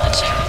Watch out.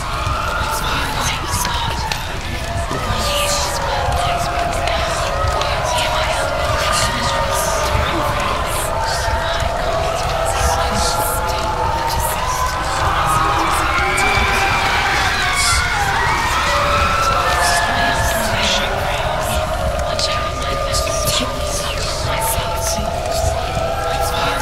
Watch out, my myself. My God.